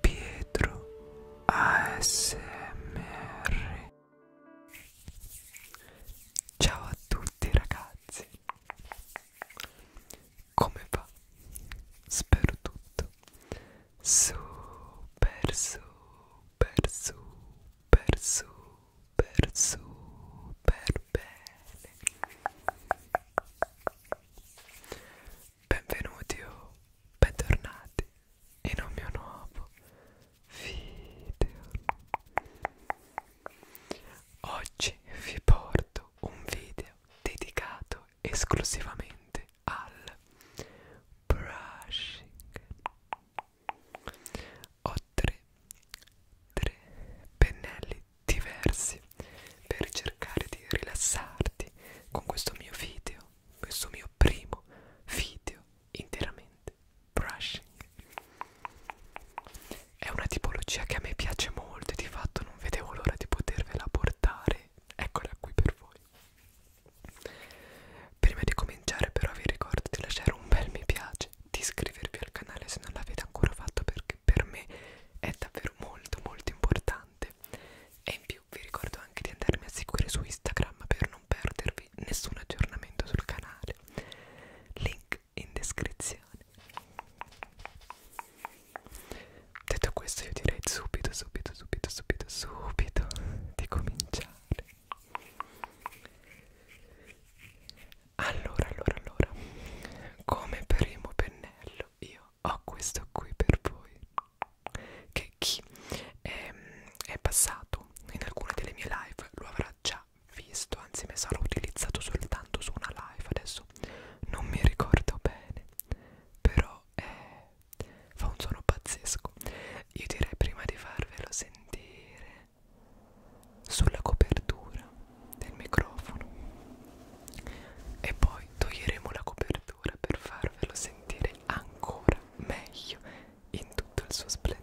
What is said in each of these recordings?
Pietro ASMR Ciao a tutti ragazzi Come va? Spero tutto Super super super super super bene Benvenuti o bentornati in un mio nuovo video. Oggi vi porto un video dedicato esclusivamente al brushing. Ho tre, tre pennelli diversi per cercare di rilassarti con questo mio video, questo mio primo video interamente brushing. È una tipologia che a me piace molto e di fatto non vedevo l'ora di potervela portare. Eccola qui per voi. Prima di cominciare però vi ricordo di lasciare un bel mi piace, di iscrivervi al canale se non l'avete ancora fatto perché per me è davvero molto molto importante e in più vi ricordo anche di andarmi a seguire su Instagram per non perdervi nessun aggiornamento sul canale link in descrizione detto questo io direi subito subito subito subito subito di cominciare allora allora allora come primo pennello io ho ah, questo qui per voi che chi è, ehm, è passato in alcune delle mie live lo avrà già visto anzi mi sarà utilizzato soltanto su una live adesso non mi ricordo bene però eh, fa un suono pazzesco io direi prima di farvelo sentire sulla copertura del microfono e poi toglieremo la copertura per farvelo sentire ancora meglio in tutto il suo splendore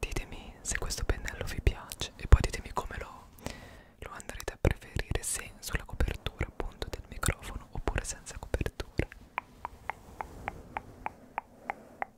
Ditemi se questo pennello vi piace e poi ditemi come lo, lo andrete a preferire se sulla copertura appunto del microfono oppure senza copertura.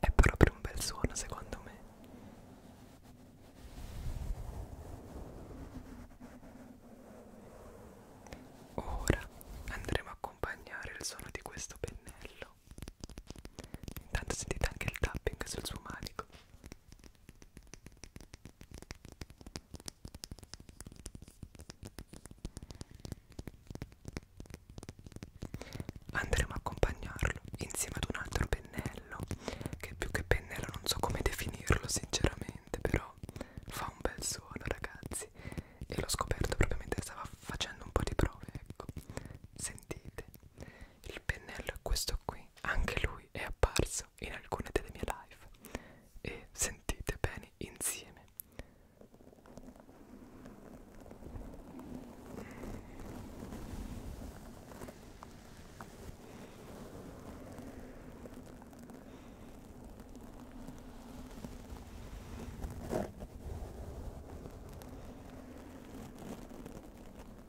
È proprio un bel suono secondo me. Ora andremo a accompagnare il suono di questo pennello. Intanto sentite anche il tapping sul suo manico. Andremo a accompagnarlo insieme ad un altro pennello, che più che pennello non so come definirlo sinceramente, però fa un bel suono ragazzi e l'ho scoperto proprio mentre stava facendo un po' di prove, ecco. Sentite, il pennello è questo qui anche lui è apparso in alcune delle mie live e sentite bene insieme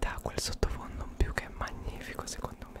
dà quel sottofondo in più che è magnifico secondo me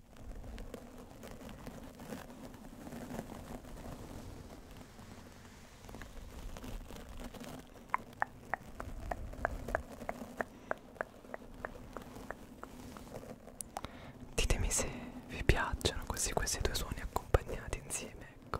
Ditemi se vi piacciono così questi due suoni accompagnati insieme, ecco.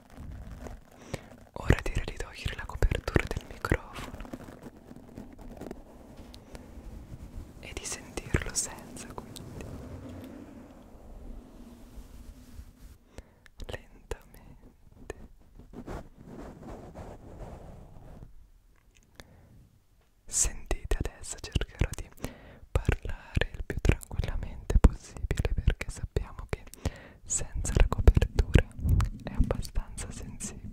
Ora direi di togliere la copertura del microfono e di sentirlo senza quindi lentamente sentite adesso cercherò di parlare il più tranquillamente possibile perché sappiamo che senza la copertura è abbastanza sensibile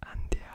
andiamo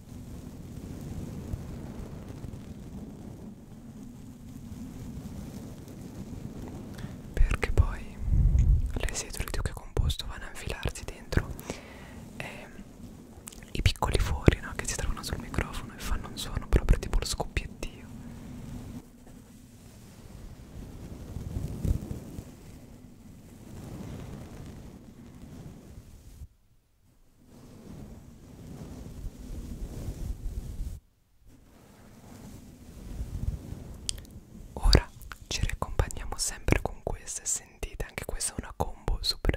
perché poi l'esercito che è composto vanno a infilarsi dentro e i piccoli fori no, che si trovano sul microfono e fanno un suono proprio tipo lo scoppiettio Ora ci riaccompagniamo sempre con queste, sentite anche questa è una combo suprema.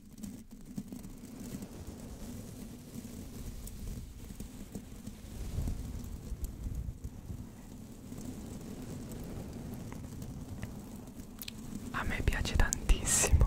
A me piace tantissimo.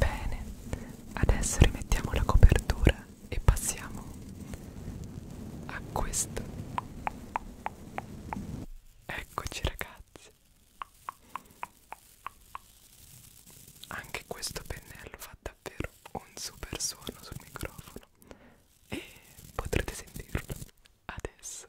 Bene, adesso rimettiamo la copertura e passiamo a questo Eccoci ragazzi. Anche questo pennello fa davvero un super suono sul microfono e potrete sentirlo adesso.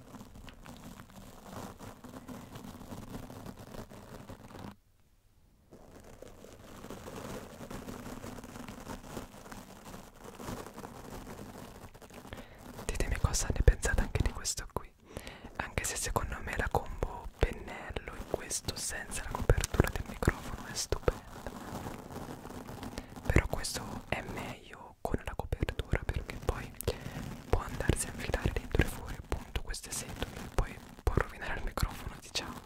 Ditemi cosa ne pensate anche di questo qui. Anche se secondo me la combo pennello in questo senza la copertura del microfono è stupenda. Però questo è meglio con la copertura perché poi fuori può andarsi a infilare dentro e fuori appunto queste setole e poi può rovinare il microfono diciamo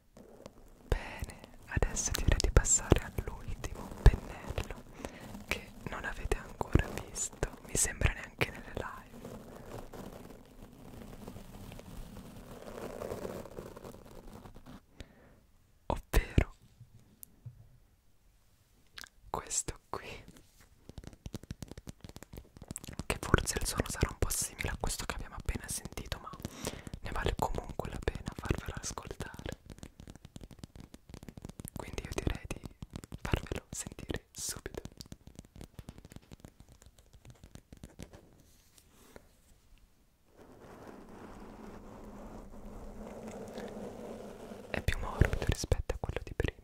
Bene, adesso direi di passare all'ultimo pennello che non avete ancora visto, mi sembra neanche nelle live. Ovvero questo qui, che forse il suono sarà un po' simile a questo che abbiamo appena sentito, ma ne vale comunque la pena farvelo ascoltare quindi io direi di farvelo sentire subito è più morbido rispetto a quello di prima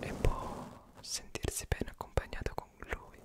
e può sentirsi bene accompagnato con lui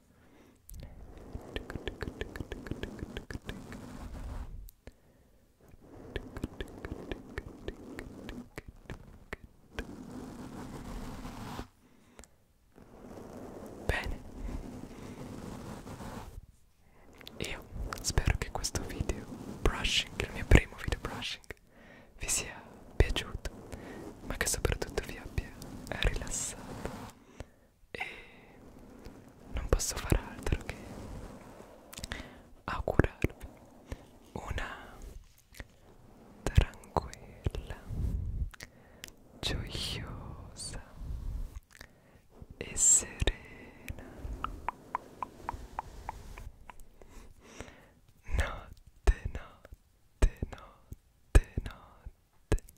Bene, io spero che questo video brushing, il mio primo video brushing, vi sia piaciuto, ma che soprattutto vi abbia rilassato e non posso fare altro che augurarvi una tranquilla, gioiosa e serena notte, notte, notte, notte